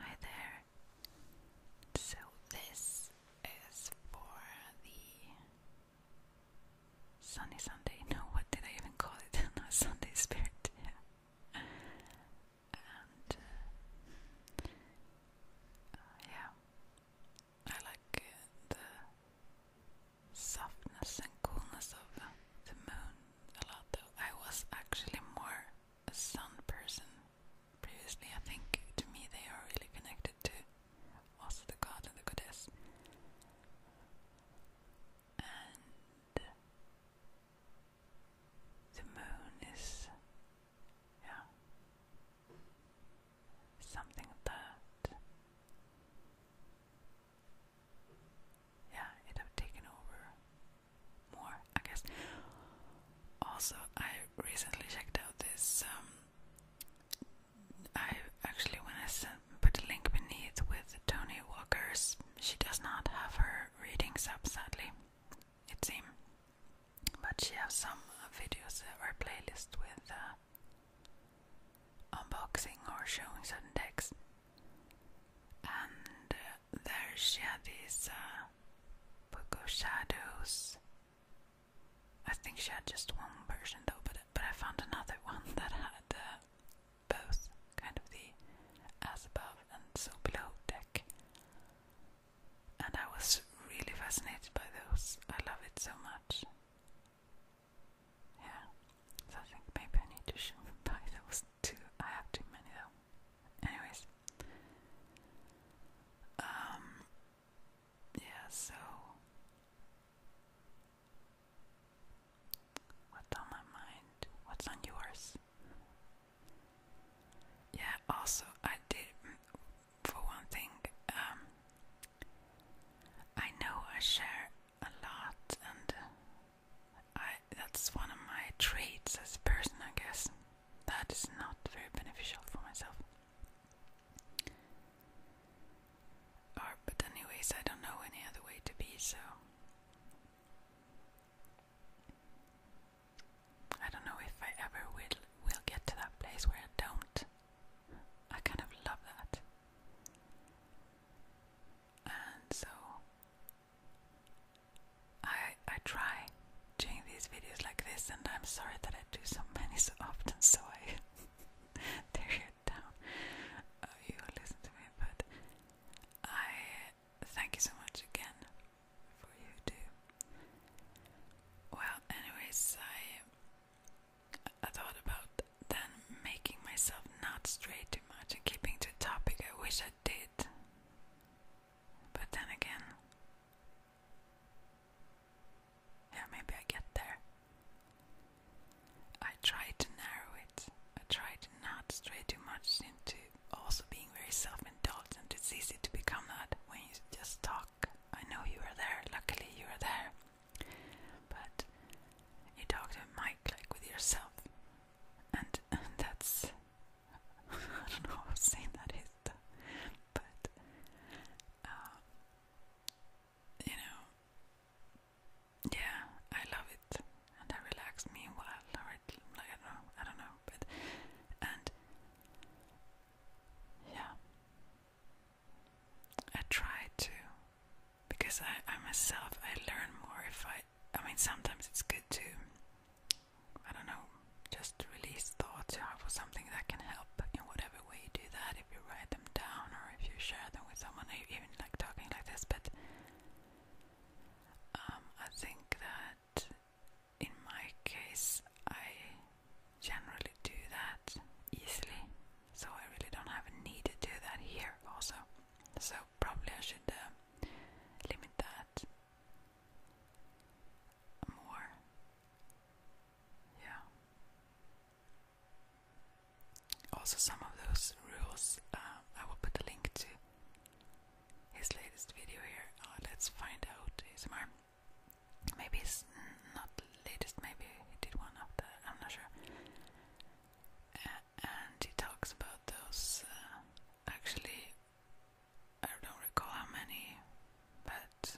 Hi there. So this is for the Sunny Sunday. No, what did I even call it? no, Sunday Spirit. Yeah. Uh, uh, yeah, I like uh, the softness and coolness of the moon a lot though. I was actually more a sun person previously. I think to me they are really connected to also the god and the goddess. And the moon is yeah something that yeah, it have taken over more, I guess. Also, I recently checked out this. Um, I actually, want to put a link beneath with Tony Walker's, she does not have her readings up, sadly, it seems. But she has some videos in her playlist with uh, unboxing or showing certain decks and uh, there she had these uh, book of shadows. I think she had just one version though, but but I found another one that had uh, both kind of the as above and so below deck, and I was really fascinated by those. I love it so much. Yeah, so I think maybe I need to buy those too. I have too many though. Anyways, um, yeah. So, what's on my mind? What's on yours? Yeah. Also, I did. Mm, for one thing, um, I know I share a lot, and I, that's one of my traits as a person, I guess. That is not very beneficial for myself. but, anyways, I don't know any other way to be, so. I don't know if I ever will will get to that place where I don't. I kind of love that. And so I I try doing these videos like this, and I'm sorry that I do so many so often, so I tear you down. Oh, you will listen to me, but I thank you so much again for you do. Well, anyways, I I thought about then making myself not stray too much and keeping to the topic. I wish I did. But then again, yeah, maybe I get there. I try to narrow it. I try to not stray too much into also being very self-indulgent. It's easy to become that when you just talk. I know you were there. Luckily, you were there. But you talked to a mic like with yourself, and that's I don't know how sane that is, but uh, you know, yeah, I love it, and I relax meanwhile, or it, like I don't know, I don't know, but and yeah, I try to because I, I myself I learn more if I I mean, sometimes it's good to, I don't know, just release thoughts you have something that can help in whatever way you do that. If you write them down or if you share them with someone, even like talking like this. But um, I think that in my case, I generally do that easily, so I really don't have a need to do that here also. So probably I should uh, limit that more. Yeah. Also, some of those rules um, I will put a link to his latest video here. Uh, let's find out Is ASMR. Maybe it's not latest, maybe he did one after, I'm not sure. Uh, and he talks about those uh, actually I don't recall how many, but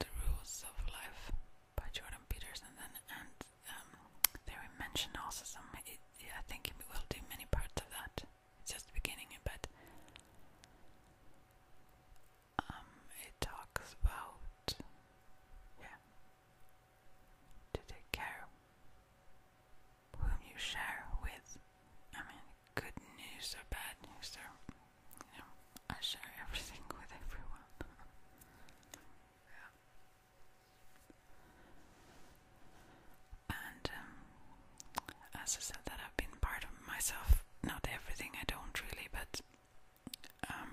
The Rules of Life by Jordan Peterson, and, and um, they also some. I think we will do many parts of that. It's just the beginning, but um, it talks about yeah, to take care whom you share with. I mean, good news or bad news, or I share everything with everyone. And um, as I said, that I've been part of myself. Not everything, I don't really, but um,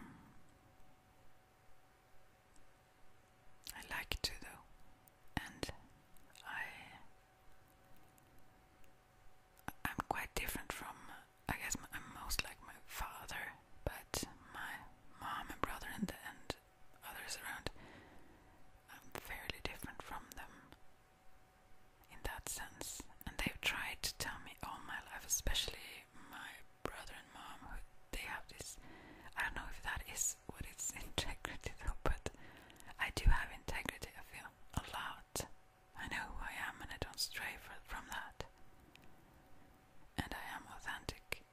I like to do. and I I'm quite different from, I guess, I'm most like my father, but my mom and brother and, the, and others around, I'm fairly different from them in that sense. And they've tried to tell me all my life, especially my brother and mom, who they have this. I don't know if that is with integrity though, but I do have integrity, I feel, a lot. I know who I am and I don't stray from that. And I am authentic.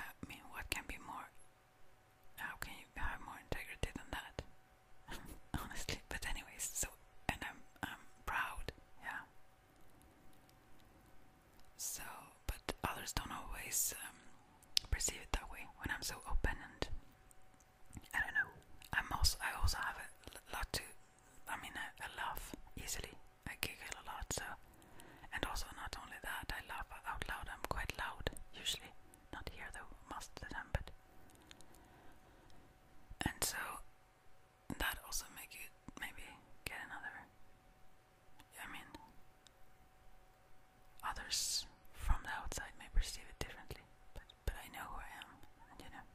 I mean, what can be more? How can you have more integrity than that? Honestly, but anyways, so and I'm I'm proud, yeah. So, but others don't always um, perceive it that way when I'm so open and I don't know. I'm also I also have a lot to. I mean, I, laugh easily. I giggle a lot. So, and also not only that, I laugh out loud. I'm quite loud usually. Not here though, most of the time. But and so that also make you maybe get another. I mean, others from the outside may perceive it differently, but but I know who I am, and you know.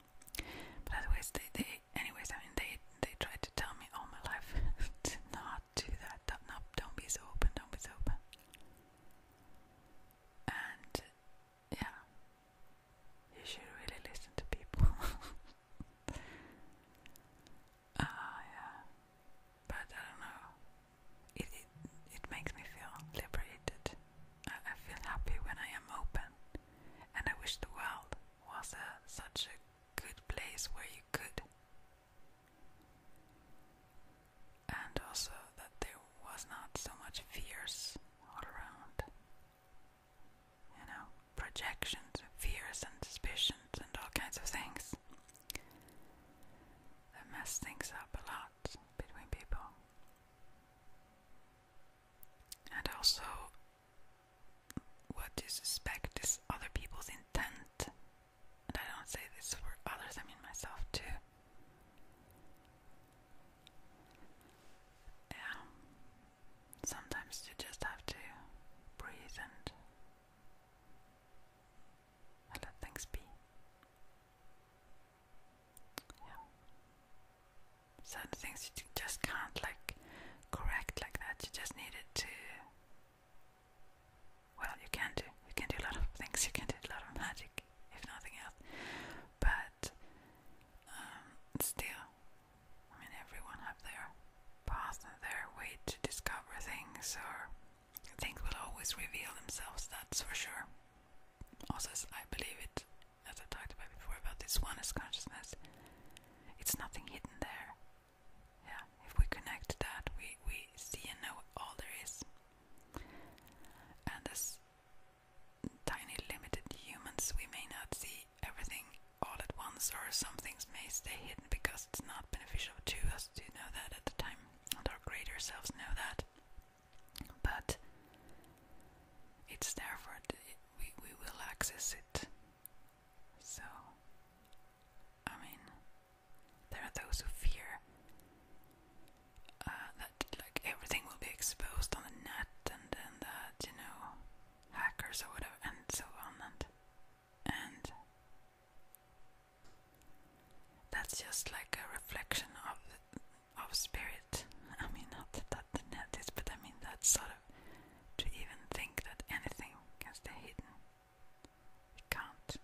But anyways, they they anyways, I mean they they tried to tell me all my life to not do that, don't not, don't be so open, don't be so open, and yeah, you should really listen to people. Ah, uh, yeah, but I don't know it, it, makes me feel liberated. I, feel happy when I am open, and I wish the world was such a good place where you could. And also that there was not so much fears all around. You know, projections, fears, and suspicions, and all kinds of things that mess things up a lot between people. And also, what you suspect is other people's intent. And I don't say this for others, I mean myself too. Yeah. Sometimes you just have to breathe and let things be. Yeah. Some things you just can't like correct like that. You just need it to. Well, you can do. You can do a lot of things. You can do a lot of magic, if nothing else. But um, still, I mean, everyone have their path and their way to discover things or things will always reveal themselves, that's for sure. Also, I believe it, as i talked about before, about this oneness consciousness. It's nothing hidden there. Yeah, if we connect that, we, we see and know all there is. And as tiny, limited humans, we may not see everything all at once, or some things may stay hidden because it's not beneficial to us to know that at the time, and our greater selves know that but it's there we will access it. So I mean, there are those who fear uh, that like everything will be exposed on the net, and and that you know hackers or whatever, and so on and and that's just like a reflection of of spirit. I mean, not that that net is, but I mean that sort of to even think that anything can stay hidden. It can't.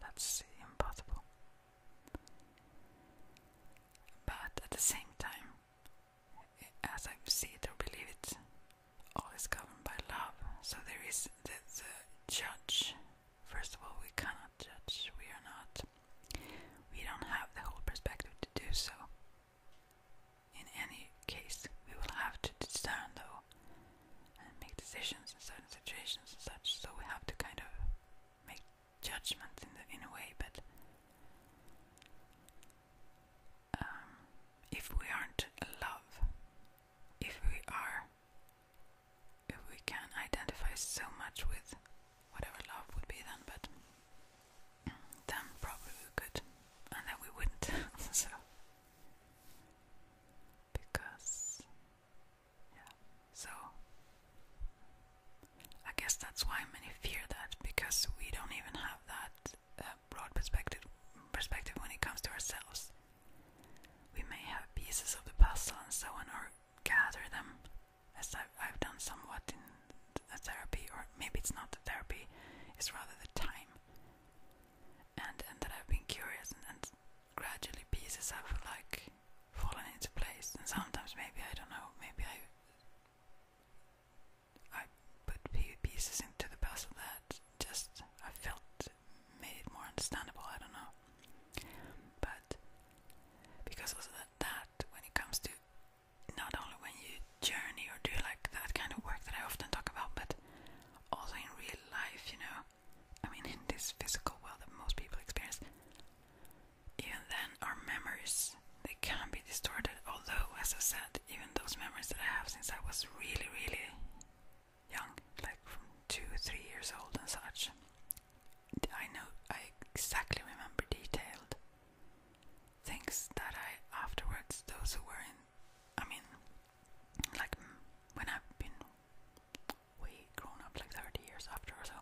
That's impossible. But at the same time, as I see it or believe it, all is governed by love. So there is the judge First of all, we cannot judge. We are not. We don't have the whole perspective to do so. In any case, we will have to discern though and make decisions in certain situations and such, so we have to kind of make judgments in, the, in a way, but um, if we aren't love, if we are if we can identify so much with whatever love would be then, but then probably we could, and then we wouldn't. so because yeah, so I guess that's why many fear that because we don't even have that uh, broad perspective perspective when it comes to ourselves. We may have pieces of the puzzle and so on, or gather them, as I've, done somewhat in therapy, or maybe it's not the therapy, it's rather the time. And, and that I've been curious, and, and gradually pieces have like fallen into place. And sometimes maybe I don't know, maybe I I put pieces into the puzzle that just I felt made it more understandable. I don't know, but because also that when it comes to not only when you journey or do like that kind of work that I often talk about, but also in real life, you know, I mean in this physical world that most people experience. Even then, our memories they can be distorted. Although, as I said, even those memories that I have since I was really, really young, like from two, three years old and such, I know I exactly remember detailed things that I afterwards, those who were in, I mean, like when I've been way grown up, like 30 years after or so.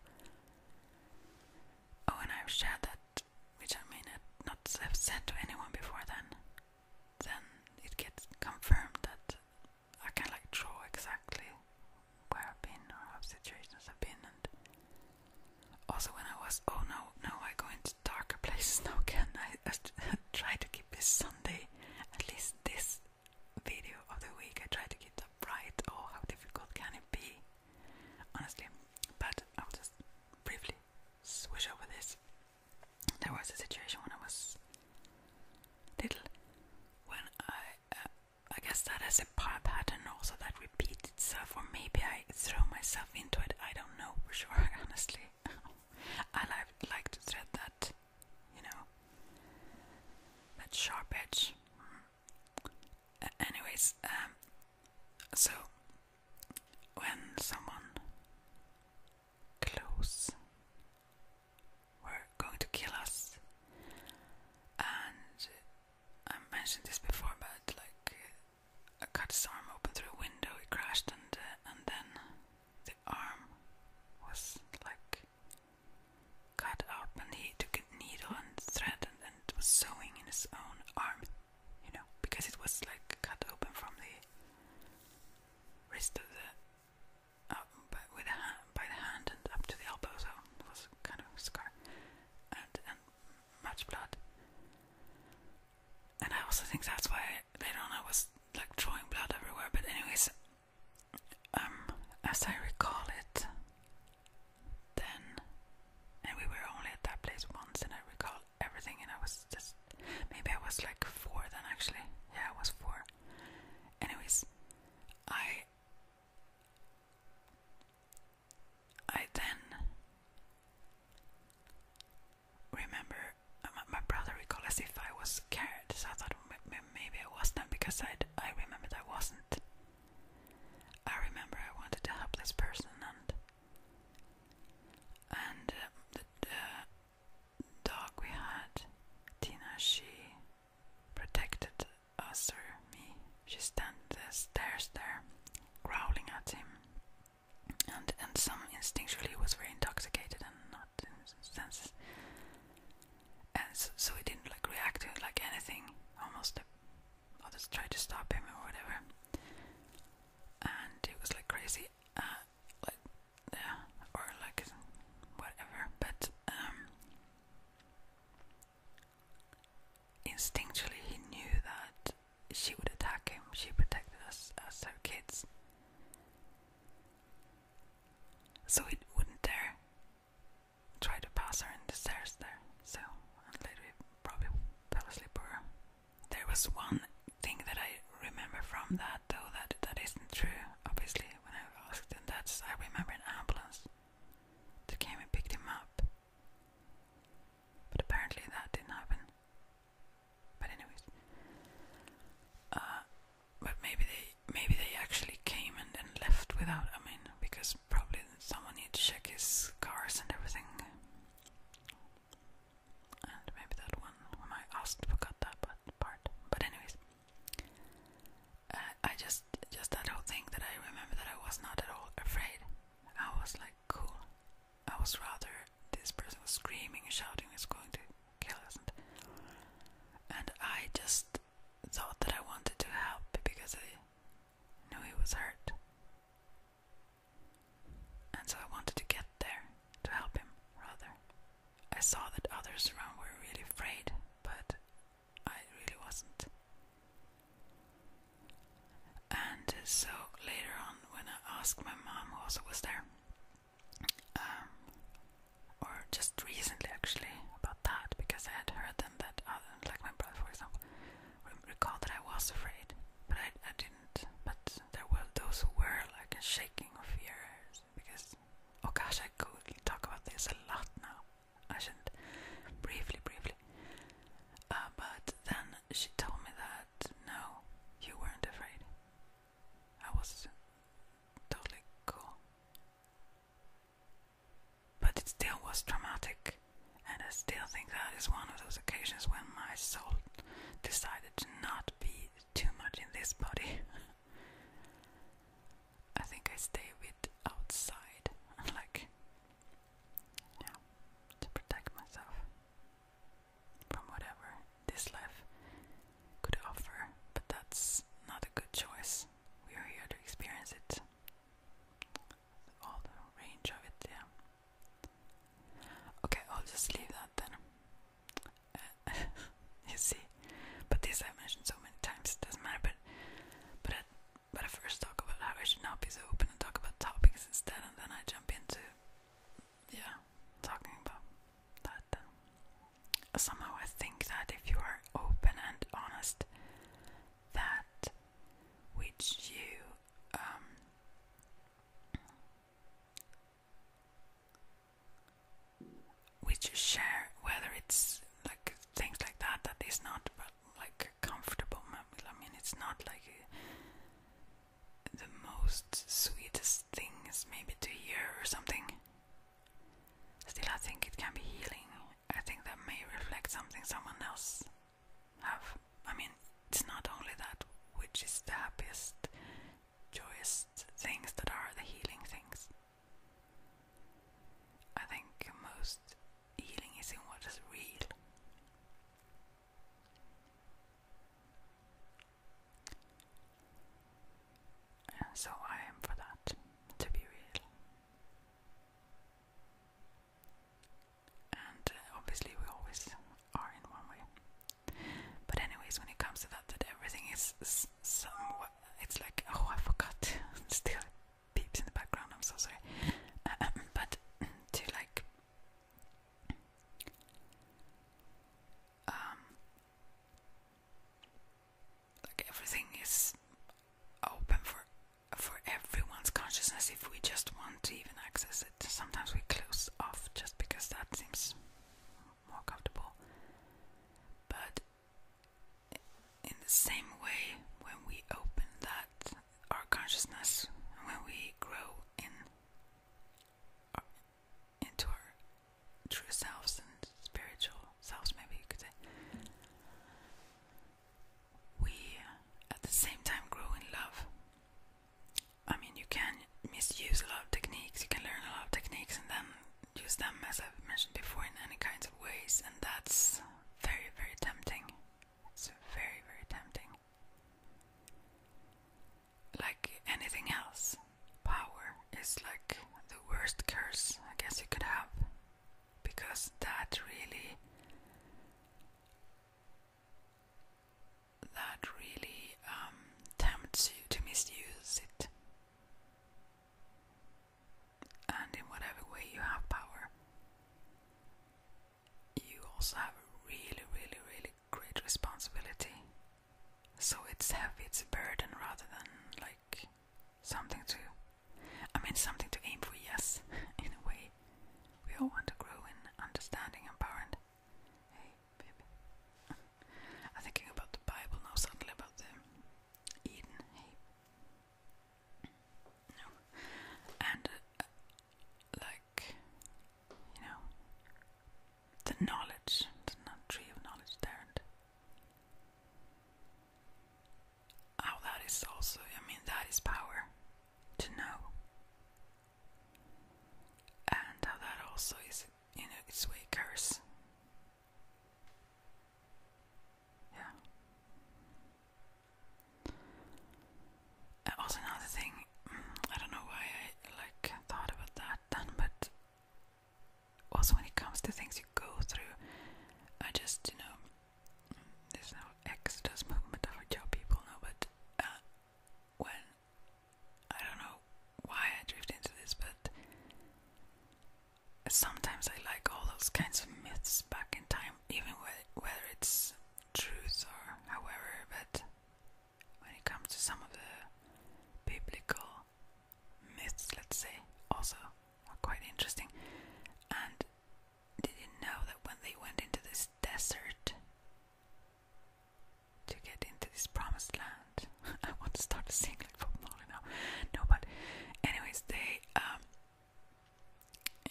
Oh, and I've shared that, which I may not have said to anyone before then. Then it gets confirmed that I can like draw exactly where I've been or what situations have been and also when I was oh no no I go into darker places now can I, try to keep this Sunday at least this video of the week I try to keep that bright oh how difficult can it be honestly but I'll just briefly switch over this there was a situation when I was little when I uh, I guess that has a pattern also that repeats itself, or maybe I throw myself into it. I don't know for sure, honestly. I like like to thread that, you know, that sharp edge. anyways, um, so when someone close were going to kill us. And I mentioned this before, but like I cut his arm open through a window, He crashed, and uh, and then the arm was like cut up, and he took a needle and thread and, and was sewing in his own arm, you know, because it was like cut open from the wrist of the up um, with a hand, by the hand and up to the elbow, so it was kind of a and, and much blood. And I also think that's why later on I was like drawing blood everywhere. But anyways, um, as I recall it, then, and we were only at that place once, and I recall everything, and I was just maybe I was like four then actually. Yeah, I was four. Anyways, I I then remember uh, my brother recalled if I was scared, so I thought maybe I wasn't because i I remembered I wasn't. I remember I wanted to help this person and and uh, the dog we had, Tina, she protected us or me. She stands uh, stares there, growling at him. And and some instinctually was very intoxicated and not in senses. And so, he didn't like react to it like anything. Almost, others try to stop him or whatever. And it was like crazy, uh, like yeah, or like whatever. But um, Instinctually, he knew that she would attack him. She protected us as her kids. So he wouldn't dare try to pass her in the stairs there. So, and later probably fell asleep There was one thing that I remember from that, though, that, that isn't true, obviously, when I asked, and that's I remember an ambulance they came and picked him up. But apparently that didn't happen. But anyways. Uh, but maybe they maybe they actually came and then left without I mean because probably someone needed to check his cars and everything. And maybe that one when I asked forgot that part but anyways. I just just that whole thing that I remember that I was not at all afraid. I was like cool. I was rather this person screaming shouting is going to kill us, and I just thought that I wanted to help because I knew he was hurt, and so I wanted to get there to help him. Rather, I saw that others around were really afraid, but I really wasn't. And uh, so later on, when I asked my mom, who also was there, um, or just recently actually about that, because I had heard them that, other, uh, like my brother, for example, recalled that I was afraid, but I, I didn't. But there were those who were like shaking of fear, because oh gosh, I could talk about this a lot now. I shouldn't. Briefly, briefly. Uh, but then she told me that no, you weren't afraid. I was totally cool. But it still was traumatic, and I still think that is one of those occasions when my soul decided to not be too much in this body. I think I stay with outside, like, yeah, to protect myself from whatever this life could offer. But that's not a good choice. We are here to experience it, all the range of it, yeah. Okay, I'll just leave that then. you see, but this I mentioned so many times, it doesn't matter. But but but I first talk about how I should not be so open and talk about topics instead, and then I jump into, yeah, talking about that. Somehow I think that if you are open and honest, that which you um, which you share, whether it's like things like that that is not like comfortable. I mean, it's not like a, the most sweetest things maybe to hear or something. Still, I think it can be healing. I think that may reflect something someone else have. I mean, it's not only that which is the happiest, joyous things that are the healing things. I think most healing is in what is real. And so I am for that to be real. And uh, obviously, we always are in one way. But, anyways, when it comes to that, that everything is somewhat. It's like, oh, I forgot. Still, beeps in the background. I'm so sorry, uh, um, but to like um like everything is open for for everyone's consciousness if we just want to even access it. Sometimes we close off just because that seems more comfortable, but in the same way, when we open that our consciousness, when we grow in uh, into our true selves and spiritual selves, maybe you could say, we at the same time grow in love. I mean, you can misuse a lot of techniques, you can learn a lot of techniques and then use them, as I've mentioned before, in any kinds of ways, and that's very, very tempting. It's very, very tempting. Like anything else, power is like the worst curse I guess you could have. Because that really. That really um, tempts you to misuse it and in whatever way you have power, you also have a really, really, really great responsibility. So it's heavy, it's a burden rather than like something to, I mean, something to aim for, yes, in a way. We all want to grow in understanding and power. And hey, baby. I'm thinking about the Bible now, Something about the Eden. Hey. No. And, uh, like, you know, the knowledge, the tree of knowledge there. And oh, that is also, I mean, that is power to know. And how that also is, you know, its way curse. Yeah. Uh, also, another thing, mm, I don't know why I like thought about that then, but also when it comes to things you go through, I just you know, there's no exodus movement of job people now, but uh, when I don't know why I drift into this, but sometimes I like all those kinds of myths back in time, even whether it's truth or however, but when it comes to some of the biblical myths, let's say, also are quite interesting. And did you know that when they went into this desert to get into this promised land? I want to start singing from like Bob now. No, but anyways, they um,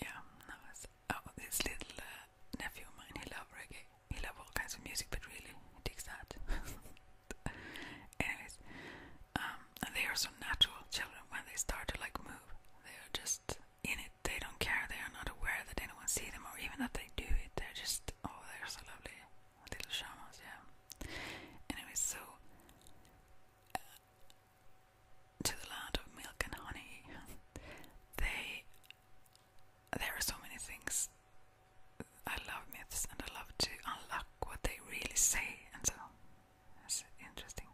yeah, that was oh this little uh, nephew of mine. He loves reggae. He loves all kinds of music, but really he digs that. Anyways, um, and they are so natural children when they start to like move. They are just in it. They don't care. They are not aware that anyone see them or even that they do it. They're just oh, they're so lovely little shamans. Yeah. Anyways, so. Uh, to the land of milk and honey. they there are so many things. I love myths and I love to unlock what they really say and so it's interesting.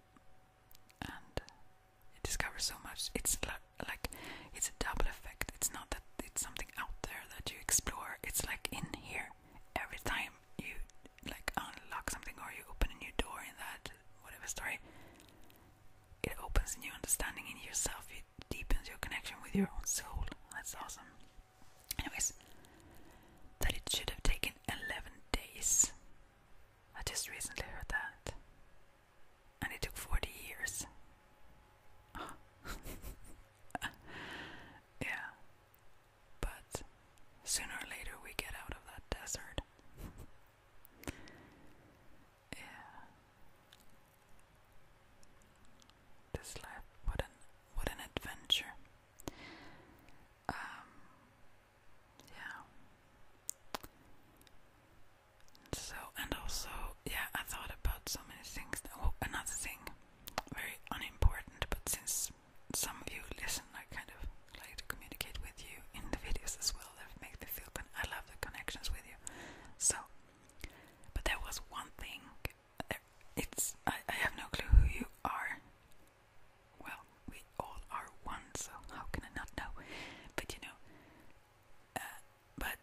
And you discover so much. It's like it's a double effect. It's not that it's something out there that you explore. It's like in here every time you like unlock something or you open a new door in that whatever story, it opens a new understanding in yourself. It deepens your connection with your own soul. That's awesome. Anyways, that it should have taken 11 days. I just recently heard that. And it took 40 years. yeah. But sooner or later we get out of that desert. yeah. This life, what an what an adventure. Um yeah. So and also, yeah, I thought about so many things. Oh, another thing, very unimportant, but since some of you listen, I kind of like to communicate with you in the videos as well. That make me feel good. I love the connections with you. So, but there was one thing. It's I, I have no clue who you are. Well, we all are one, so how can I not know? But you know, uh, but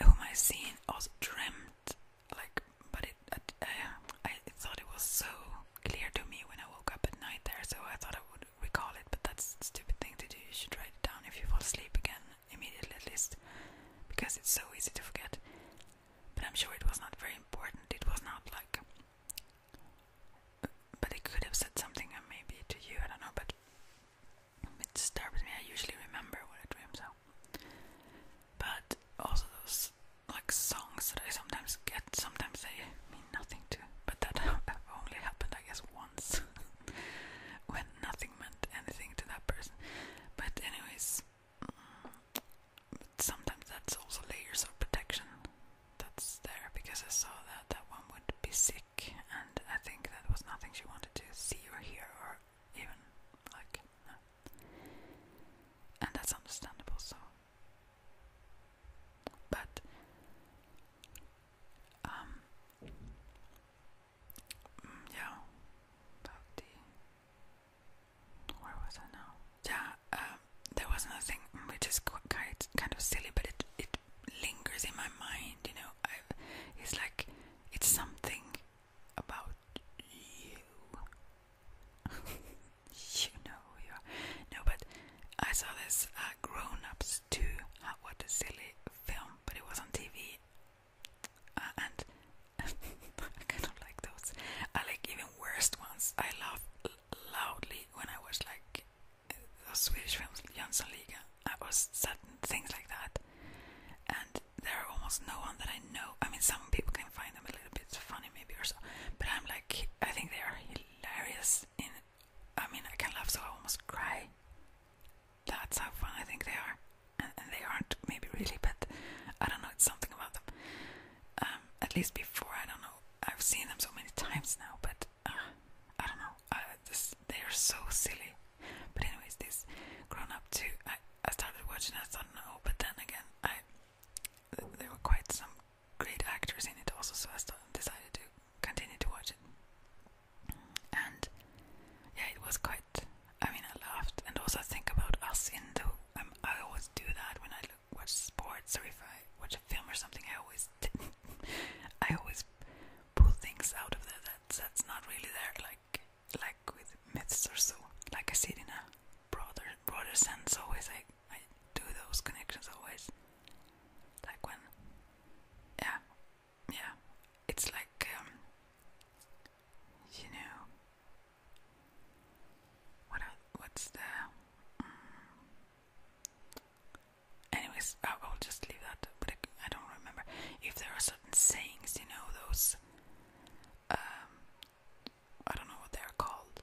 whom I seen also dreamt like, but it I thought it was so clear to me when I woke up at night there, so I thought I would recall it, but that's a stupid thing to do. You should write it down if you fall asleep again immediately, at least, because it's so easy to forget. But I'm sure it was not very important. It was not like. But it could have said something, uh, maybe to you, I don't know, but it disturbs me. I usually remember what I dream, so. But also, those like songs that I sometimes get, sometimes they mean nothing to, but that only happened, I guess, once when nothing meant anything to that person. But, anyways, mm, sometimes that's also layers of protection that's there because I saw that that one would be sick, and I think that was nothing she wanted to see or hear or even like. And that's understandable, so but um mm, yeah about the where was I now? Yeah, um, there was another which is quite kind of silly, but it it lingers in my mind. You know, it's like it's something about you you know who you are. No, but I saw this uh, Grown Ups too. Uh, what a silly film, but it was on TV. Uh, and I kind of like those. I like even worst ones. I laugh loudly when I watch like those Swedish films, Jönssonligan. I was certain things like that. And there are almost no one that I know. I mean, some people can find them a little bit funny, maybe, or so. But I'm like, I think they are hilarious. I mean, I can laugh so I almost cry. That's how fun I think they are, and, they aren't maybe really, but I don't know. It's something about them. Um, at least before, I don't know. I've seen them so many times now, but uh, I don't know. Uh, they are so silly. But anyways, this grown up too. I, I started watching. I thought no, but then again, I there were quite some great actors in it also, so I decided to continue to watch it. And yeah, it was quite. I mean, I laughed, and also think about us in the. Um, I always do that when I watch sports or if I watch a film or something. I always, I always pull things out of there that that's not really there, like like with myths or so. Like I said in a broader broader sense. Always, like. I do those connections always. Like when, yeah, yeah, it's like, um, you know, what what's the? Mm. anyways, I will just leave that. But I, I don't remember if there are certain sayings, you know, those. Um, I don't know what they're called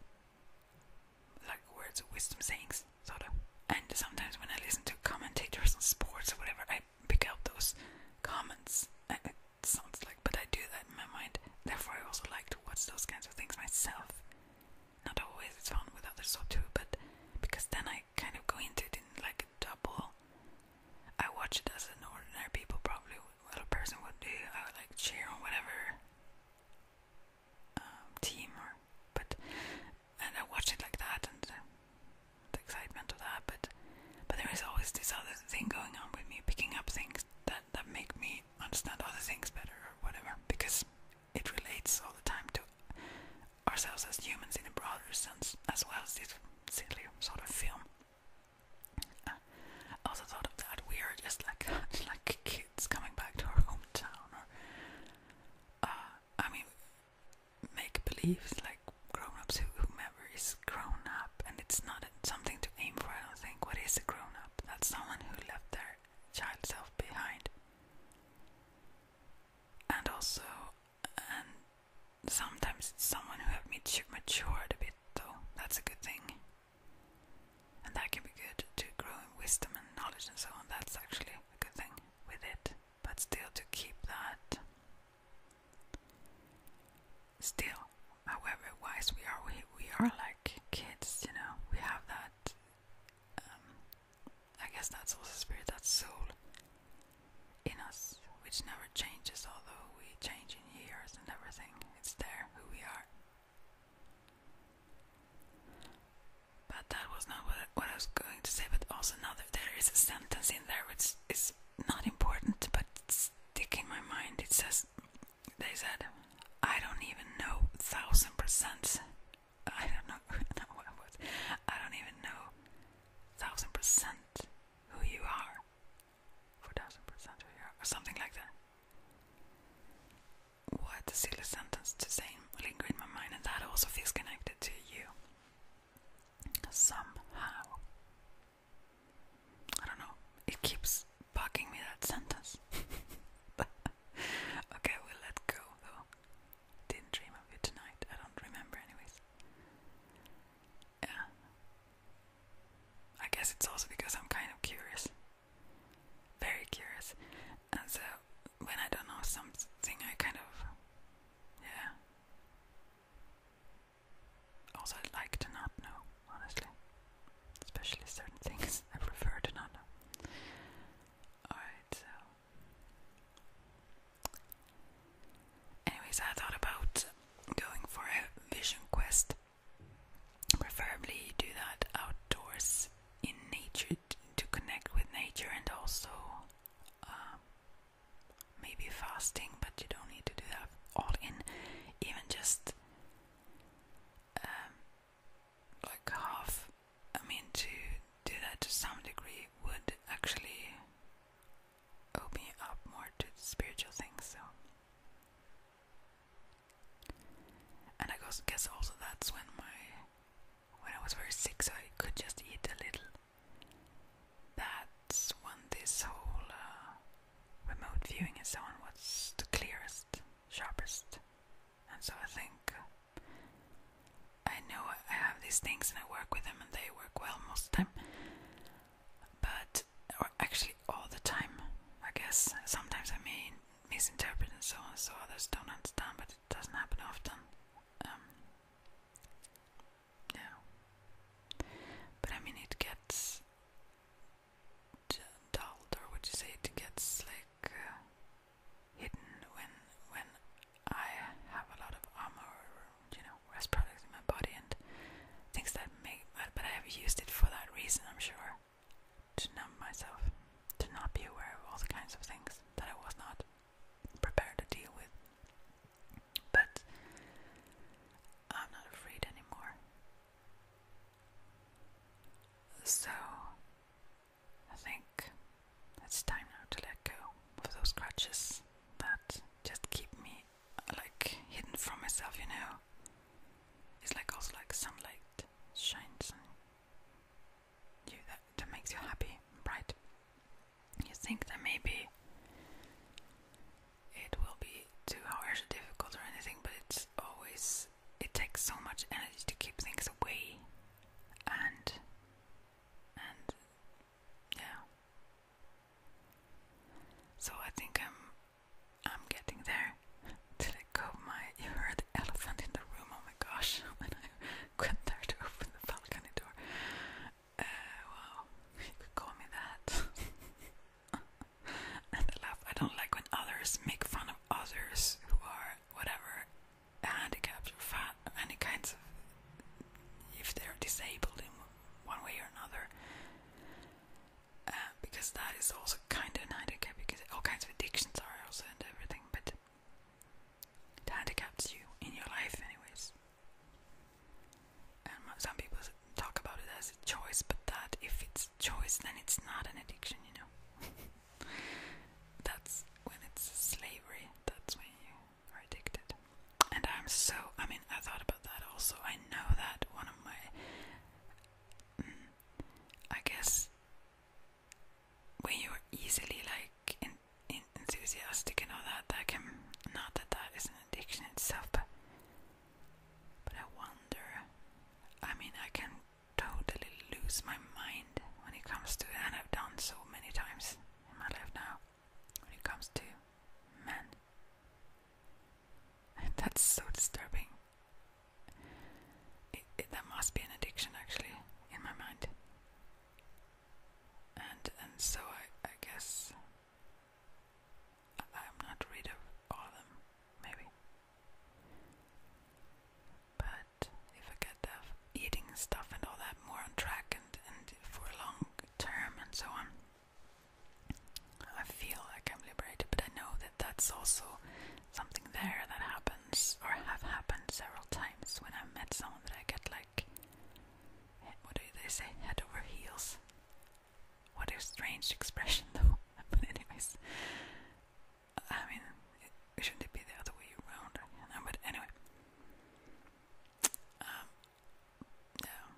like words of wisdom sayings, sort of. And sometimes when I listen to commentators on sports or whatever, I pick out those comments. And it sounds like, but I do that in my mind. Therefore, I also like to watch those kinds of things myself. Not always it's fun with others so too, but because then I kind of go into it in like a double. I watch it as an ordinary people probably, what a person would do. I would like cheer on whatever um, team, or but and I watched it like that and uh, the excitement of that. But but there is always this other thing going on with me, picking up things that that make me understand other things better or whatever, because it relates all the time to ourselves as humans in a broader sense, as well as this silly sort of film. Uh, I also thought of that we are just like like kids coming back to our hometown uh, I mean make believes like grown ups whomever is grown up and it's not something to aim for I don't think. What is a grown up? That's someone who left their child self behind. And also and sometimes it's someone who have matured a bit though. That's a good thing. And that can be good to grow in wisdom and knowledge and so on. That's actually a good thing with it. But still, to keep that. Still, however wise we are, we, we are like kids, you know. We have that. Um, I guess that's also spirit, that soul in us, which never changes, although we change in years and everything. It's there who we are but that was not what, I was going to say. But also, now that there is a sentence in there which is not important, but stick in my mind. It says, "They said, I don't even know thousand percent. I don't know. no, what was? I don't even know thousand percent who you are. Four thousand percent who you are, or something like that." what a silly sentence to say, linger in my mind, and that also feels connected to you somehow. I don't know, it keeps bugging me that sentence. okay, we let go though. Didn't dream of you tonight, I don't remember, anyways. Yeah. I guess it's also because I'm kind of curious. Very curious. And so when I don't know something, I kind of, yeah. Also, like to not know, honestly. Especially certain things, I prefer to not know. Alright, so. Anyways, I thought about going for a vision quest. Preferably do that outdoors in nature to connect with nature and also um, maybe fasting, but you don't need to do that all in, even just um, like half. I mean, to do that to some degree would actually open up more to spiritual things. So and I guess also that's when my when I was very sick, so I could just eat a little. That's when this whole uh, remote viewing and so on was the clearest, sharpest. And so I think I know I have these things and I work with them and they work well most of the time. But, or actually all the time, I guess. Sometimes I mean. Misinterpreted and so on, so others don't understand, but it doesn't happen often. yeah. Um, but I mean, it gets dulled, or would you say it gets like uh, hidden when when I have a lot of armor, you know, rest products in my body and things that make. But I have used it for that reason, I'm sure to numb myself, to not be aware of all the kinds of things that I was not prepared to deal with. But I'm not afraid anymore. So I think it's time now to let go of those crutches that just keep me like hidden from myself, you know. It's like also like sunlight shines you that, that makes you happy, right? You think that maybe it will be two hours difficult or anything, but it's always it takes so much energy to keep things away and and yeah. So I think I'm I'm getting there. Did I go my you heard the elephant in the room, oh my gosh, when I went there to open the balcony door. Uh wow, could call me that. and I laugh. I don't like when others make fun of others who are whatever handicapped or fat or any kinds of if they're disabled in one way or another. Uh, because that is also kind of an handicap because all kinds of addictions are also and everything, but it handicaps you in your life, anyways. And some people talk about it as a choice, but that if it's choice, then it's not an addiction, you know. that's when it's slavery. That's when you are addicted. And I'm so. I mean, I thought about that also. I know that one of my. Mm, I guess when you're easily like enthusiastic and all that, that can not that that is an addiction itself, but but I wonder. I mean, I can totally lose my mind when it comes to and I've done so many times in my life now. When it comes to men, that's so disturbing it, there must be an addiction actually in my mind, and and so I, I guess I, am not rid of all of them, maybe. But if I get the eating stuff and all that more on track and and for long term and so on. I feel like I'm liberated, but I know that that's also something there that happens or have happened several times when I met someone that I get like what do they say head over heels. What a strange expression though. but anyways, I mean, it, shouldn't it be the other way around? but anyway, yeah, um,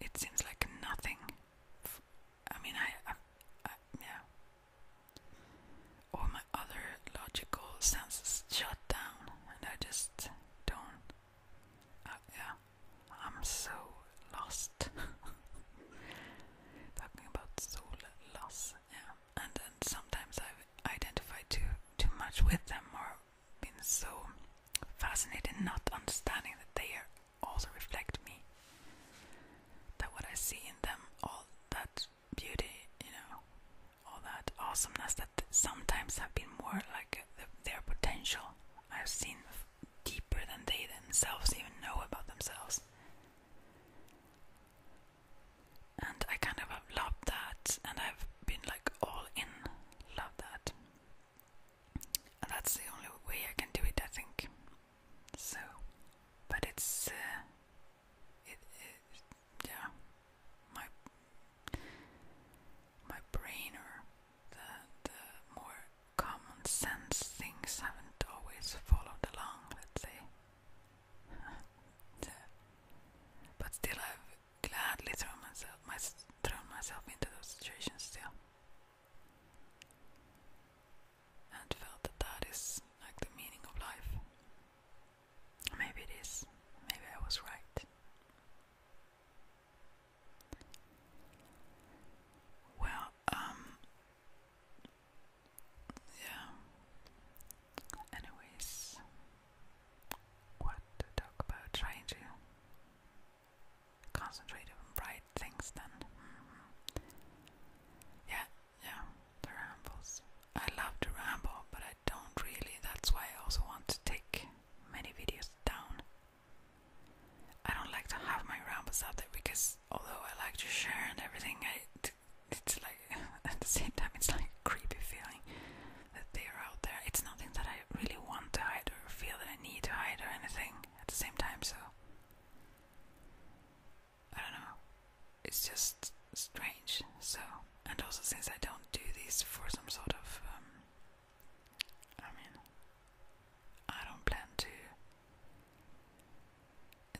it, seems like nothing. I mean, I yeah, all my other logical senses shut down, and I just don't. Uh, yeah, I'm so lost. Talking about soul loss, yeah. And then sometimes I've identified too too much with them, or been so fascinated not understanding that they are also reflect me that what I see in them, all that beauty, you know, all that awesomeness that sometimes have been more like their potential I've seen deeper than they themselves even know about themselves. And I kind of have loved that, and I've been like all in love that. that's the only way I can do it, I think. So, but it's uh, yeah my my brain or the the more common sense things haven't always followed along. Let's say, but still I've gladly thrown myself my, myself into those situations still and felt that that is like the meaning of life. Maybe it is. Maybe I was right. Well, um, yeah. Anyways, what to talk about? Trying to concentrate on bright things then. Mm-hmm. Yeah, yeah, the rambles. I love to ramble, but I don't really. That's why I also want to take many videos down. I don't like to have my rambles out there because although I like to share and everything, it's like at the same time it's like creepy feeling that they are out there. It's nothing that I really want to hide or feel that I need to hide or anything at the same time. So I don't know. It's just strange. So, and also since I don't do these for some sort of, um, I mean, I don't plan to.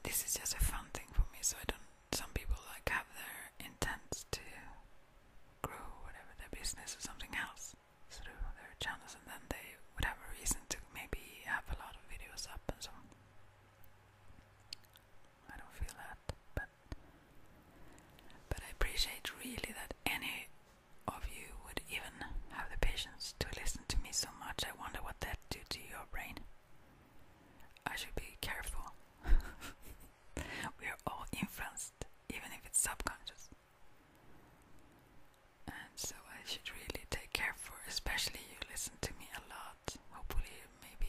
This is just a fun thing for me. So I don't. Some people like have their intent to grow whatever their business or something else sort of their channels, and then they would have a reason to maybe have a lot of videos up and so on. I don't feel that, but but I appreciate really that any of you would even have the patience to listen to me so much. I wonder what that do to your brain. I should be careful. we are all influenced, even if it's subconscious. And so I should really take care for, especially you listen to me a lot. Hopefully, maybe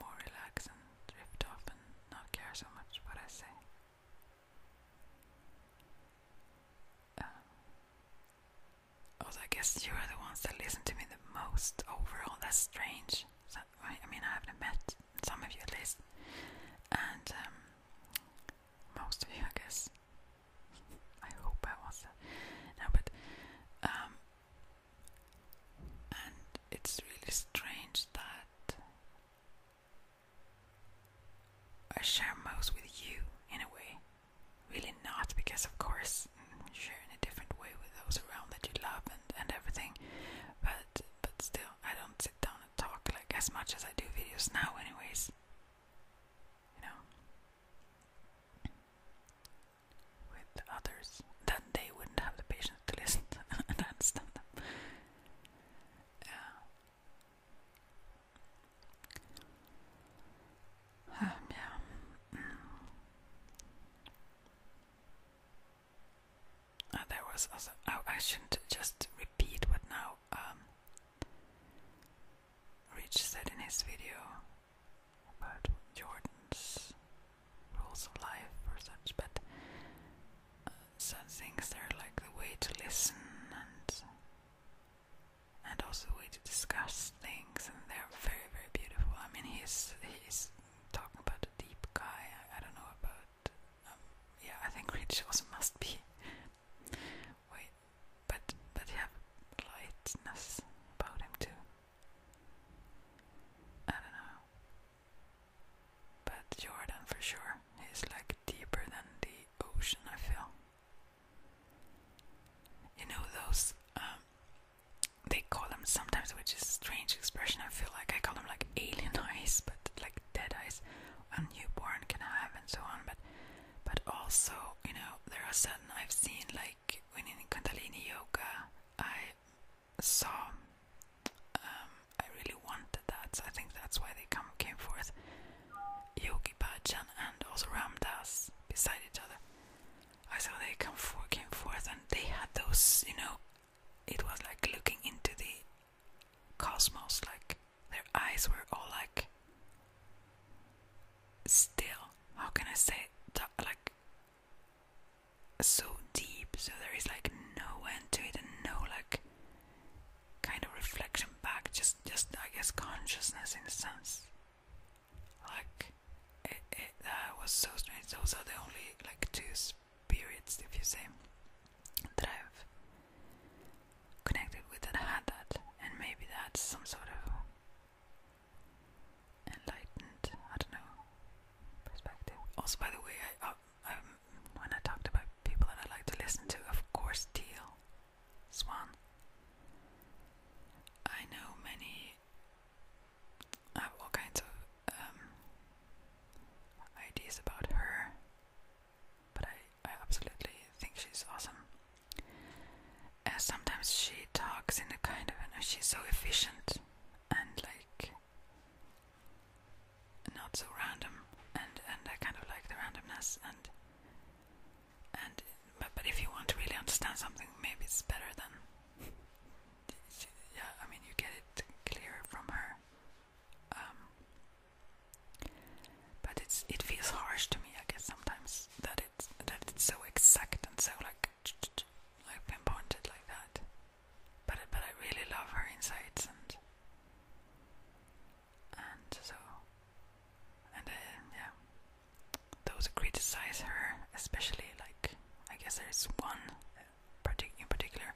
more relax and drift off and not care so much what I say. Um, I guess you are the ones that listen to me the most overall. That's strange. I, mean, I haven't met some of you at least, and um, most of you, I guess. I hope I was. No, but um, and it's really strange that I share most with you in a way. Really not, because of course mm, sharing a different way with those around that you love and, and everything. But but still I don't sit down and talk like as much as I do videos now anyways. You know with others, then they wouldn't have the patience to listen and understand them. Yeah. Um, yeah. Mm. Uh, there was also. Oh, I shouldn't just repeat what now um, Rich said in his video about Jordan's rules of life or such, but uh, some things are like the way to listen and and also the way to discuss things, and they're very very beautiful. I mean, he's he's talking about a deep guy. I, don't know about um, yeah. I think Rich also must be. Wait, but but you lightness about him too. I don't know. But Jordan for sure. He's like deeper than the ocean, I feel. You know those um, they call them sometimes which is a strange expression. I feel like I call them like alien eyes, but like dead eyes a newborn can have and so on, but but also, you know, there are certain I've seen like when in Kundalini yoga, I saw um, I really wanted that. So I think that's why they come came forth. Yogi Bhajan and also Ram beside each other. I saw they come for came forth and they had those, you know, it was like looking into the cosmos, like their eyes were all like still. How can I say? Like so deep, so there is like no end to it and no like kind of reflection back, just just I guess consciousness in a sense. Like it, uh, was so strange. Those are the only like two spirits, if you say, that I've connected with that had that, and maybe that's some sort of enlightened, I don't know, perspective. Also, by the way, I, uh, um, when I talked about people that I like to listen to, of course, Teal Swan. I know many. I have all kinds of um, ideas about her, but I, I absolutely think she's awesome uh, sometimes she talks in a kind of and she's so efficient and like not so random and and I kind of like the randomness and and but, but if you want to really understand something maybe it's better than yeah I mean you get it clearer from her um, but it's it feels harsh to me I guess sometimes that it's that it's so exact and so like like pointed like that. But but I really love her insights and and so and uh, yeah, those who criticize her, especially like I guess there is one uh, particular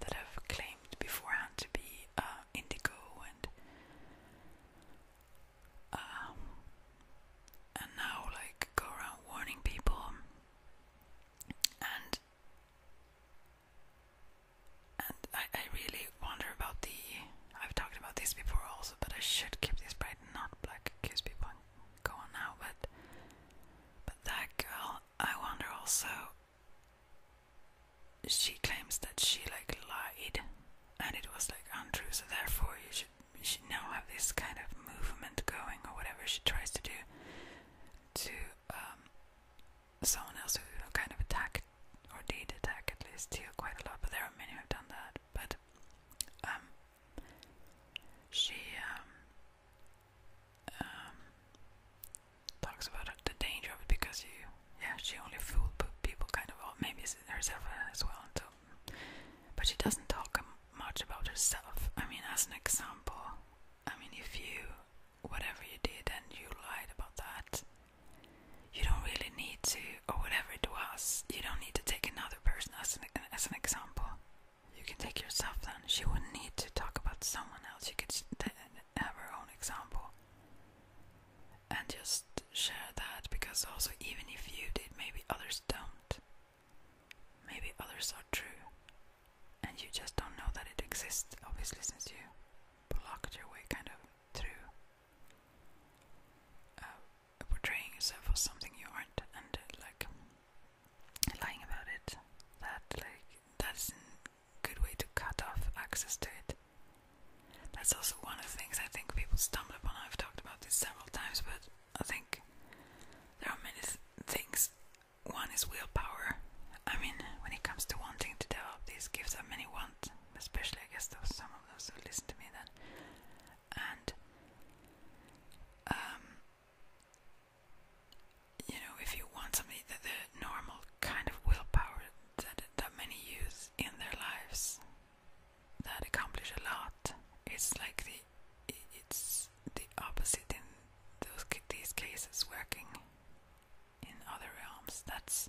that have claimed beforehand to be uh, indigo and um, and now like go around warning people and and I, I really wonder about the I've talked about this before also but I should keep this bright not black accuse people go on now but but that girl I wonder also she claims that she like lied and it was like untrue so therefore you should she, now have this kind of movement going or whatever she tries to do to um, someone else who kind of attacked or did attack at least you quite a lot, but there are many who have done that. But um, she um, um, talks about the danger of it because you, yeah, she only fooled people kind of, maybe herself as well, so but she doesn't talk much about herself. I mean, as an example, I mean, if you, whatever you did and you lied about that, you don't really need to, or whatever it was, you don't need to take another person as an, as an example. You can take yourself then. She wouldn't need to talk about someone else. You could have her own example and just share that because also, even if you did, maybe others don't. Maybe others are true, and you just don't know that it exists, obviously, since you blocked your way kind of through uh, portraying yourself as something you aren't and uh, like lying about it. That, like, that's a good way to cut off access to it. That's also one of the things I think people stumble upon. I've talked about this several times, but I think there are many th things. One is willpower. I mean, when it comes to wanting to develop these gifts that many want, especially I guess those some of those who listen to me then, and um, you know, if you want something that the normal kind of willpower that that many use in their lives, that accomplish a lot. It's like the it's the opposite in those these cases working in other realms. That's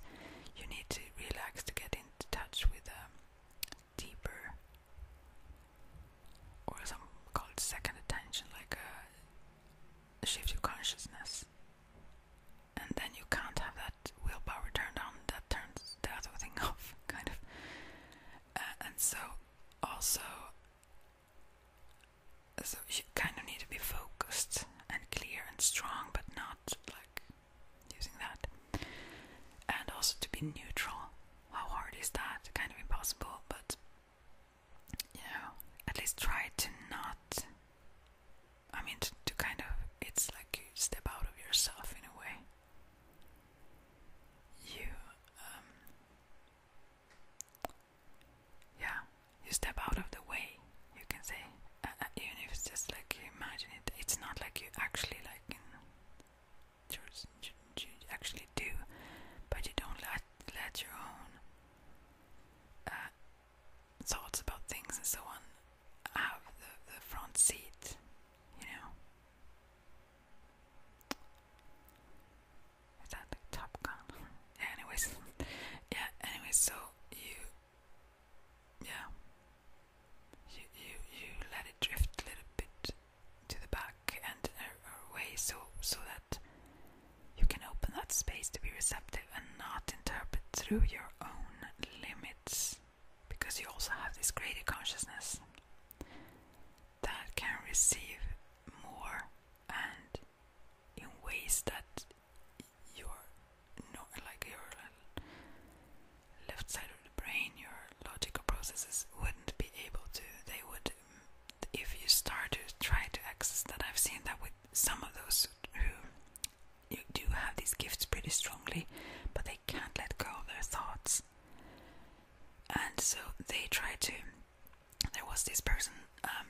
you need to relax to get in touch with a um, deeper or some called second attention, like a uh, shift of consciousness. And then you can't have that willpower turned on that turns the other thing off, kind of. Uh, and so, also, so you kind of need to be focused and clear and strong, but not like using that. And also to be neutral. How hard is that? Kind of impossible, but you know, at least try to not. I mean, to kind of, it's like you step out of yourself in a way you um, yeah you step out of the way you can say uh, uh, even if it's just like you imagine it it's not like you actually like you, actually do but you don't let let your own uh, thoughts about things and so on have the, the front seat you know is that Top Gun? anyways. Yeah, anyways, so you yeah. You you you let it drift a little bit to the back and away so so that you can open that space to be receptive and not interpret through your own limits because you also have this greater consciousness that can receive more and in ways that your like your left side of the brain your logical processes wouldn't be able to they would if you start to try to access that I've seen that with some of those who do have these gifts pretty strongly but they can't let go of their thoughts and so they try to. There was this person. Um,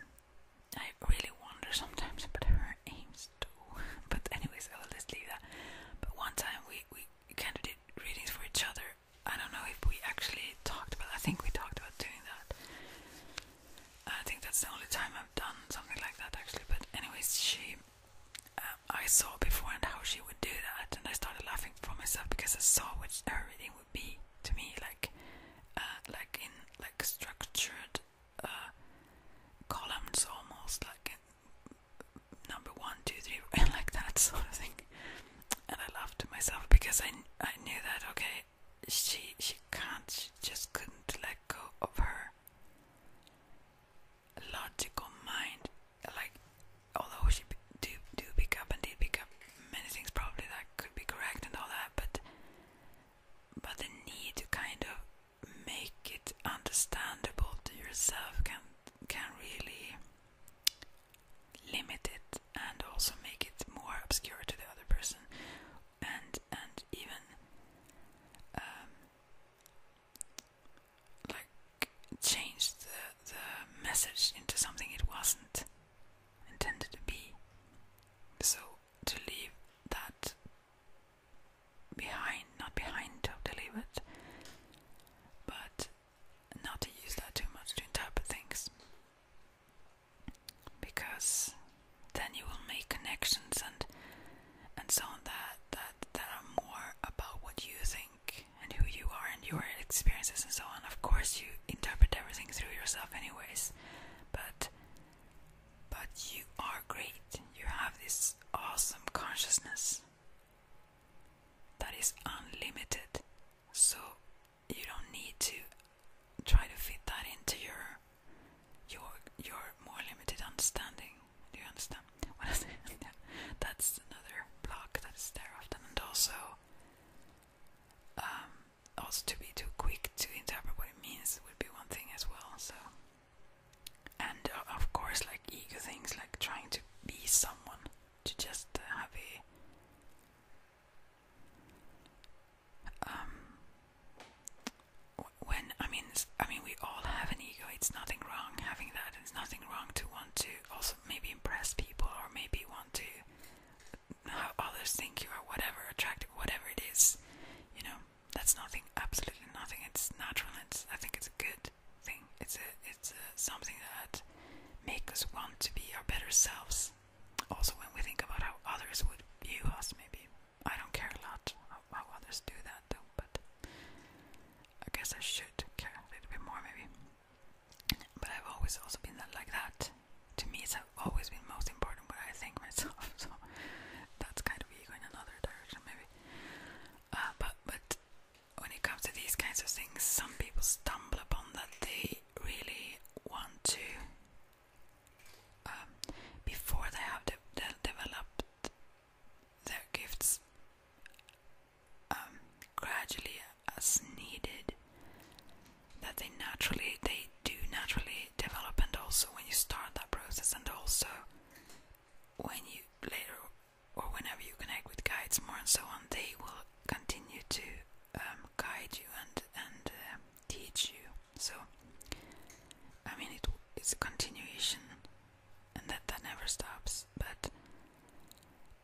I really wonder sometimes about her aims too. But anyways, I will just leave that. But one time we we kind of did readings for each other. I don't know if we actually talked about. I think we talked about doing that. I think that's the only time I've done something like that actually. But anyways, she. Uh, I saw beforehand how she would do that, and I started laughing for myself because I saw what everything would be to me, like uh, like in like structured uh, columns, almost like number one, two, three, like that sort of thing. And I laughed to myself because I I knew that okay, she she can't, she just couldn't let go of her logical mind like although she do do pick up and did pick up many things probably that could be correct and all that, but but the need to kind of make it understandable to yourself can can really limit it and also make it more obscure to the other person and and even um, like change the, the message into something it wasn't intended to be. So to leave that behind, not behind to totally, it, but not to use that too much to interpret things, because then you will make connections and and so on that that that are more about what you think and who you are and your experiences and so on. Of course, you interpret everything through yourself, anyways. But but you are great. You have this awesome consciousness that is unlimited. So you don't need to try to fit that into your your your more limited understanding. Do you understand? That's another block that's there often, and also um, also to be too quick to interpret what it means would be one thing as well. So, and uh, of course, like ego things, like trying to be someone, to just uh, have a um, when I mean, I mean, we all have an ego. It's nothing wrong having that. It's nothing wrong to want to also to maybe impress people or maybe want to how others think you are whatever attractive whatever it is you know that's nothing absolutely nothing it's natural it's i think it's a good thing it's a it's a, something that makes us want to be our better selves also when we think about how others would view us maybe i don't care a lot how, how others do that though but i guess i should care a little bit more maybe but I've always also been that, like that. To me, it's always been most important what I think myself. So that's kind of ego in another direction, maybe. Uh, but but when it comes to these kinds of things, some people stumble upon that they really want to. Um, before they have developed their gifts um, gradually as needed that they naturally they do naturally develop and also when you start that process and also when you later or whenever you connect with guides more and so on they will continue to um, guide you and and uh, teach you so I mean it, it's a continuation and that that never stops but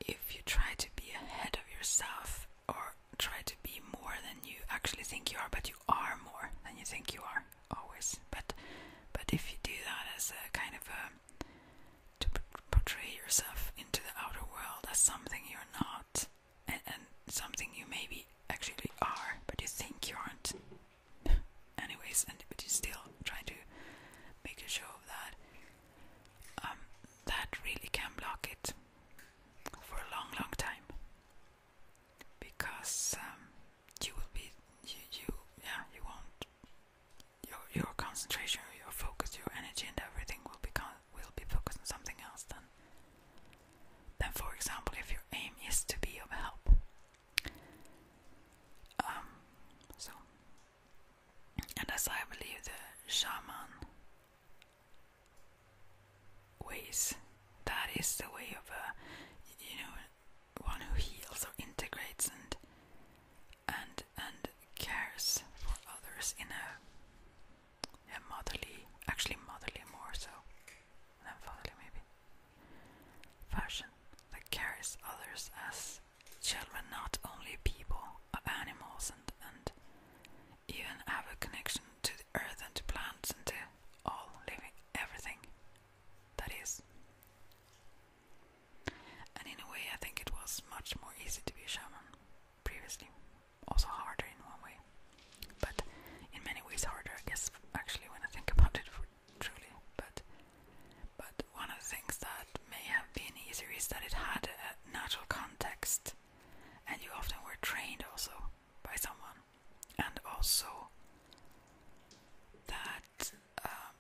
if you try to be ahead of yourself or try to be more than you actually think you are, but you are more than you think you are always. But but if you do that as a kind of a to portray yourself into the outer world as something you're not, and, and something you maybe actually are, but you think you aren't. Anyways, and but you still try to make a show of that. Um, that really can block it for a long, long time because um, you will be you, yeah you won't your your concentration, your focus, your energy, and everything will be will be focused on something else than then, for example, if your aim is to be of help. Um, so and as I believe the shaman ways, that is the way of a uh, you know one who heals or integrates and and and cares for others in a, a motherly, actually motherly more so than fatherly maybe fashion that carries others as children not only people or animals and, and even have a connection to the earth and to plants and to all living everything that is. And in a way I think it was much more easy to be a shaman previously. Also harder in one way. But in many ways harder I guess actually when I think about it truly but but one of the things that may have being easier is that it had a natural context, and you often were trained also by someone, and also that, um,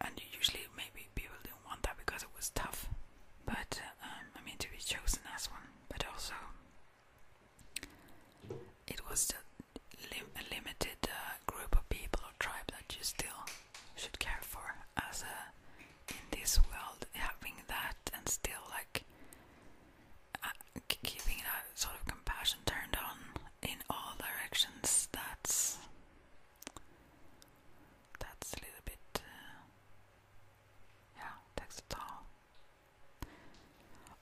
and usually maybe people didn't want that because it was tough, but um, I mean to be chosen as one, but also it was the a limited uh, group of people or tribe that you still should care for as a in this world having that and still like uh, keeping that sort of compassion turned on in all directions that's that's a little bit uh, yeah takes a toll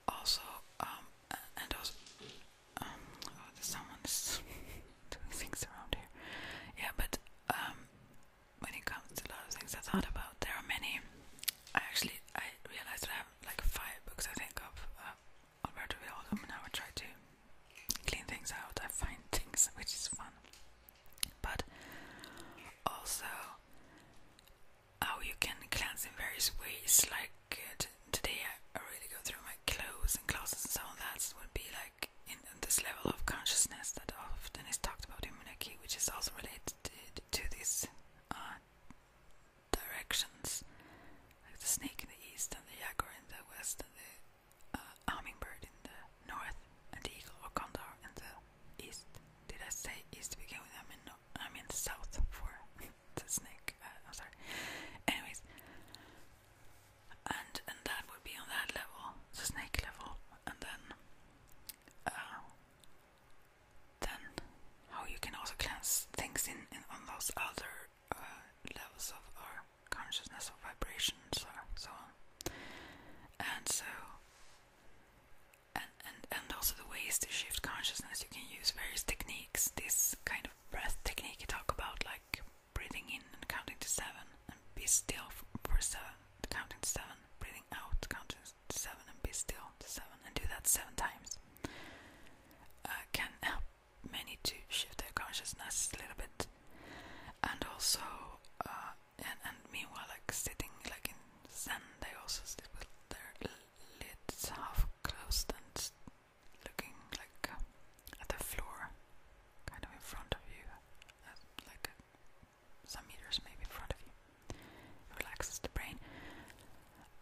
also um and also um oh, there's someone's doing things around here yeah but um, when it comes to a of things I thought about, there are many. I actually I realized I have like five books I think of uh, Alberto Villagum, and I try to clean things out. I find things, which is fun, but also how you can cleanse in various ways. Like uh, today, I really go through my clothes and closets and so on. That would be like in, this level of consciousness that often is talked about in Maneki, which is also related to, these uh, directions, like the snake in the east and the jaguar in the west and the uh, hummingbird in the north and the eagle or condor in the east. Did I say east begin with? I mean, no, I mean south for the snake. Uh, I'm sorry. Anyways, and and that would be on that level, the snake level, and then uh, then how you can also cleanse things in, in on those other uh, levels of our consciousness or vibrations or so on, and so. And, and, and also the ways to shift consciousness you can use various techniques this kind of breath technique you talk about like breathing in and counting to seven, and be still for seven, counting seven, breathing out, counting seven, and be still seven, and do that seven times. Uh, can help many to shift their consciousness a little bit, and also, uh, and, meanwhile, like sitting like in Zen, they also sit with their lids half closed and looking like uh, the floor, kind of in front of you, uh, like uh, some meters maybe in front of you. relaxes the brain.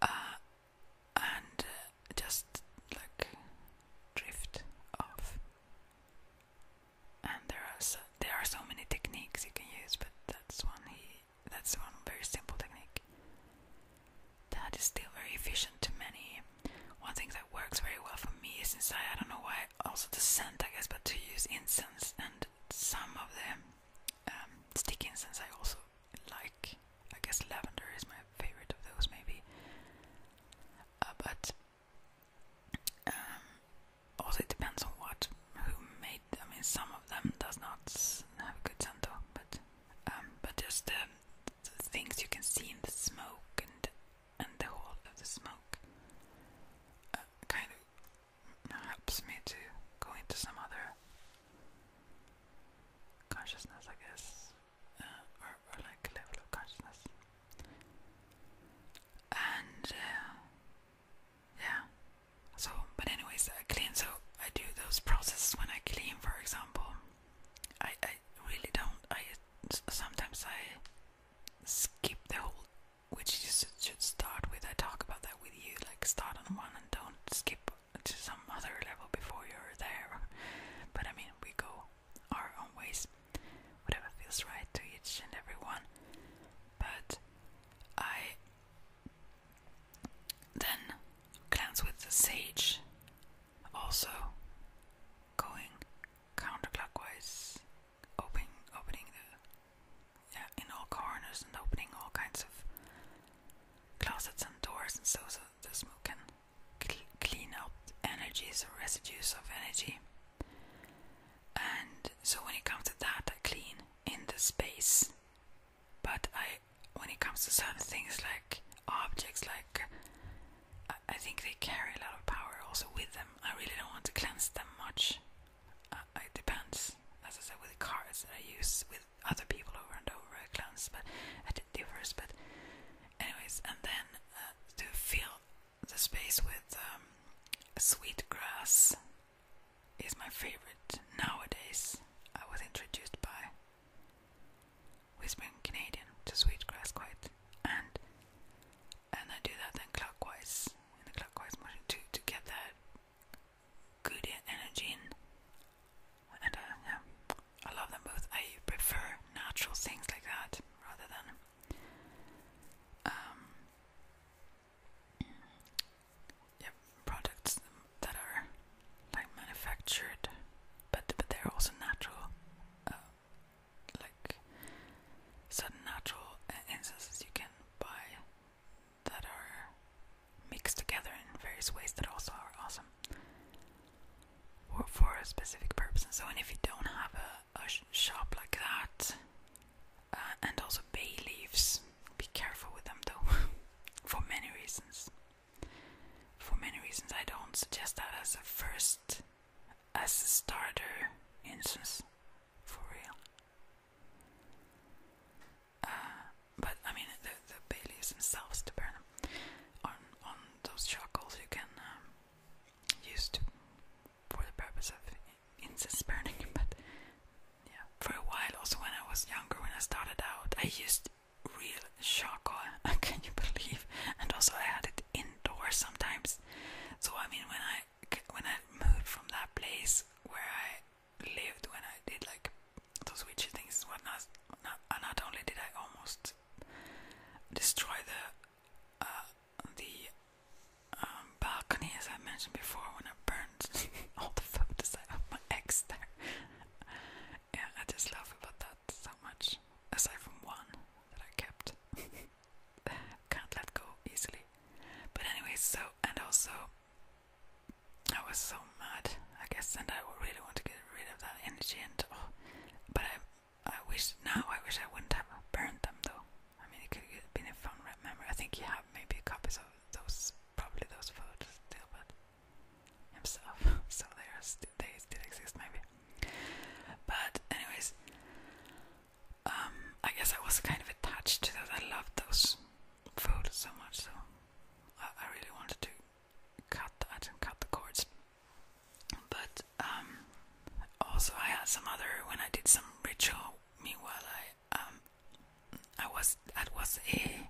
Uh, and just like drift off. And there are so, there are so many techniques you can use, but that's one that's one very simple technique that is still very efficient to many. One thing that works very well for me is inside. I don't know why also the scent, I guess, but to use incense and some of them um, stick incense I also like. I guess lavender is my favorite of those, maybe. Uh, but um, also it depends on what who made. I mean, some of them does not have a good scent, though, but um, but just the things you can see in the smoke and and the whole of the smoke uh, kind of helps me to go into some other consciousness, I guess, uh, or, like level of consciousness. And uh, yeah, so but anyways, I clean. So I do those processes when I clean, for example. I I really don't. I sometimes I skip the whole which you should start with. I talk about that with you, like start on one and don't skip to some other level before you're there. But I mean, we go our own ways, whatever feels right to each and everyone. But I then cleanse with the sage, also going counterclockwise opening, opening yeah, in all corners and opening all kinds of closets and doors, and so, so the smoke can clean up energies or residues of energy. And so when it comes to that, I clean in the space. But I, when it comes to certain things like objects, like I, think they carry a lot of power also with them. I really don't want to cleanse them much. Uh, uh, it depends, as I said, with the cards that I use with other people over and over. I cleanse, but it differs. But, anyways, and then uh, to fill the space with um, sweet grass is my favorite nowadays. I was introduced by Whispering Canadian to sweet grass quite, and and I do that then clockwise in the clockwise motion to to get that good energy in. And uh, I love them both. I prefer natural things like that rather than um, products that are like manufactured, but but they're also natural. Uh, like certain natural incenses you can buy that are mixed together in various ways that also are awesome or for a specific purpose. And so, and if you don't have a, shop like that, uh, and also bay leaves, be careful with them though, for many reasons. For many reasons, I don't suggest that as a first as a starter instance for real. Uh, but I mean, the, the Baileys themselves to burn them. On, on those charcoals you can um, use to, for the purpose of incense burning. But yeah, for a while, also when I was younger, when I started out, I used real charcoal. Can you believe? And also, I had it indoors sometimes. So I mean, when I when I moved from that place where I lived, when I did like those witchy things, what not, not, only did I almost destroy the uh, the um, balcony, as I mentioned before, when I burned all the photos of my ex there. yeah, I just laugh about that so much. Aside from one that I kept. can't let go easily. But anyway, so and also I was so mad, I guess, and I really want to get rid of that energy. And oh, but I, I wish now I wish I wouldn't have burned them though. I mean, it could have been a fun memory. I think you have maybe copies of those, probably those photos still, but himself, so there's, still they still exist maybe. But anyways, um, I guess I was kind of attached to those. I loved those food so much, so I, really wanted to cut that and cut the cords. But um, also, I had some other when I did some ritual. Meanwhile, I um, I was that was a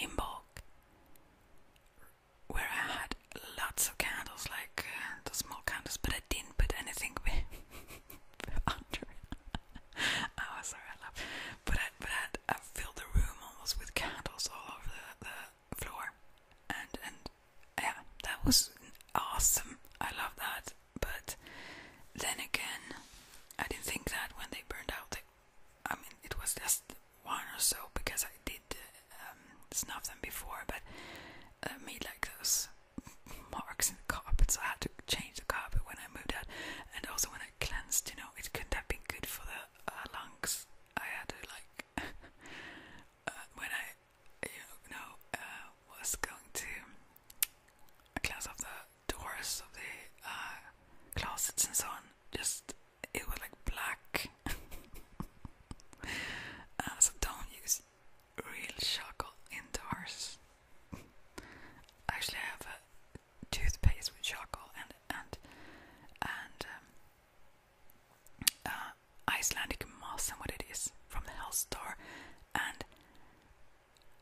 in where I had lots of candles, like uh, the small candles, but I didn't put anything under it. oh, sorry, I laughed. But but I, filled the room almost with candles all over the, the floor, and and yeah, that was awesome. I love that. But then again, I didn't think that when they burned out. They, I mean, it was just one or so because I did um, snuff them before, but uh, made like those marks in the carpet, so I had to change the carpet when I moved out, and also when I cleansed, you know, it couldn't have been good for the uh, lungs. I had to like uh, when I, you know, uh, was going to cleanse off the doors of the uh, closets and so on. Just it was like black. Uh, so don't use real charcoal indoors. Actually, I have a toothpaste with charcoal and and and um, uh, Icelandic moss and what it is from the health store. And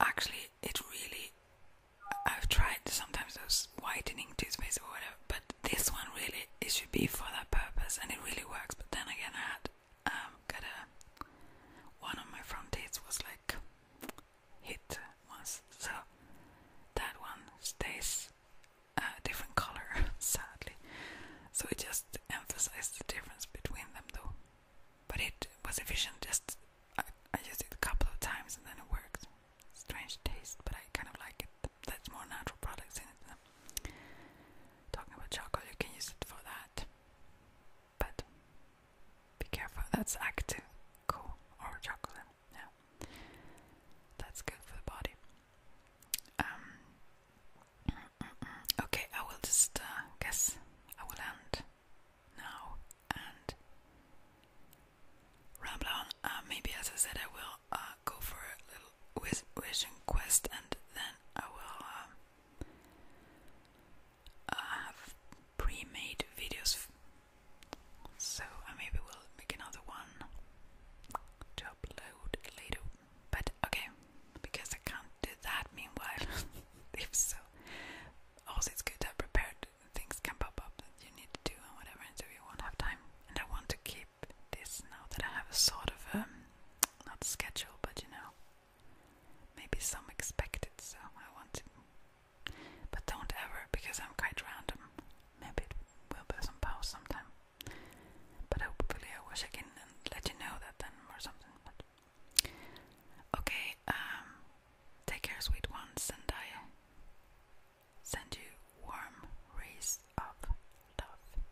actually, it really. I've tried sometimes those whitening toothpaste or whatever, but this one really it should be for that purpose, and it really works. But then again, I had um, got a one of my front teeth was like hit once, so that one stays a different color, sadly. So it just emphasized the difference between them, though. But it was efficient. Just I, I used it a couple of times and then it worked. Strange taste, but I kind of like it. That's more natural products in it. Talking about chocolate, you can use it for that. But be careful, that's active cool or chocolate. Yeah, that's good for the body. Um, okay, I will just uh, guess I will end now and ramble on. Uh, maybe, as I said, I will uh, go for a little with vision quest, and then I will um, uh, have pre-made videos. So I uh, maybe will make another one to upload later. But okay, because I can't do that meanwhile. if so, also it's good to have prepared. Things can pop up that you need to do and whatever, and won't have time. And I want to keep this now that I have a sort of um, not schedule, but you know, Maybe some expect it, so I want to. But don't ever, because I'm quite random. Maybe it will be some pause sometime. But hopefully I will check in and let you know that then or something. But okay, um, take care, sweet ones, and I send you warm rays of love.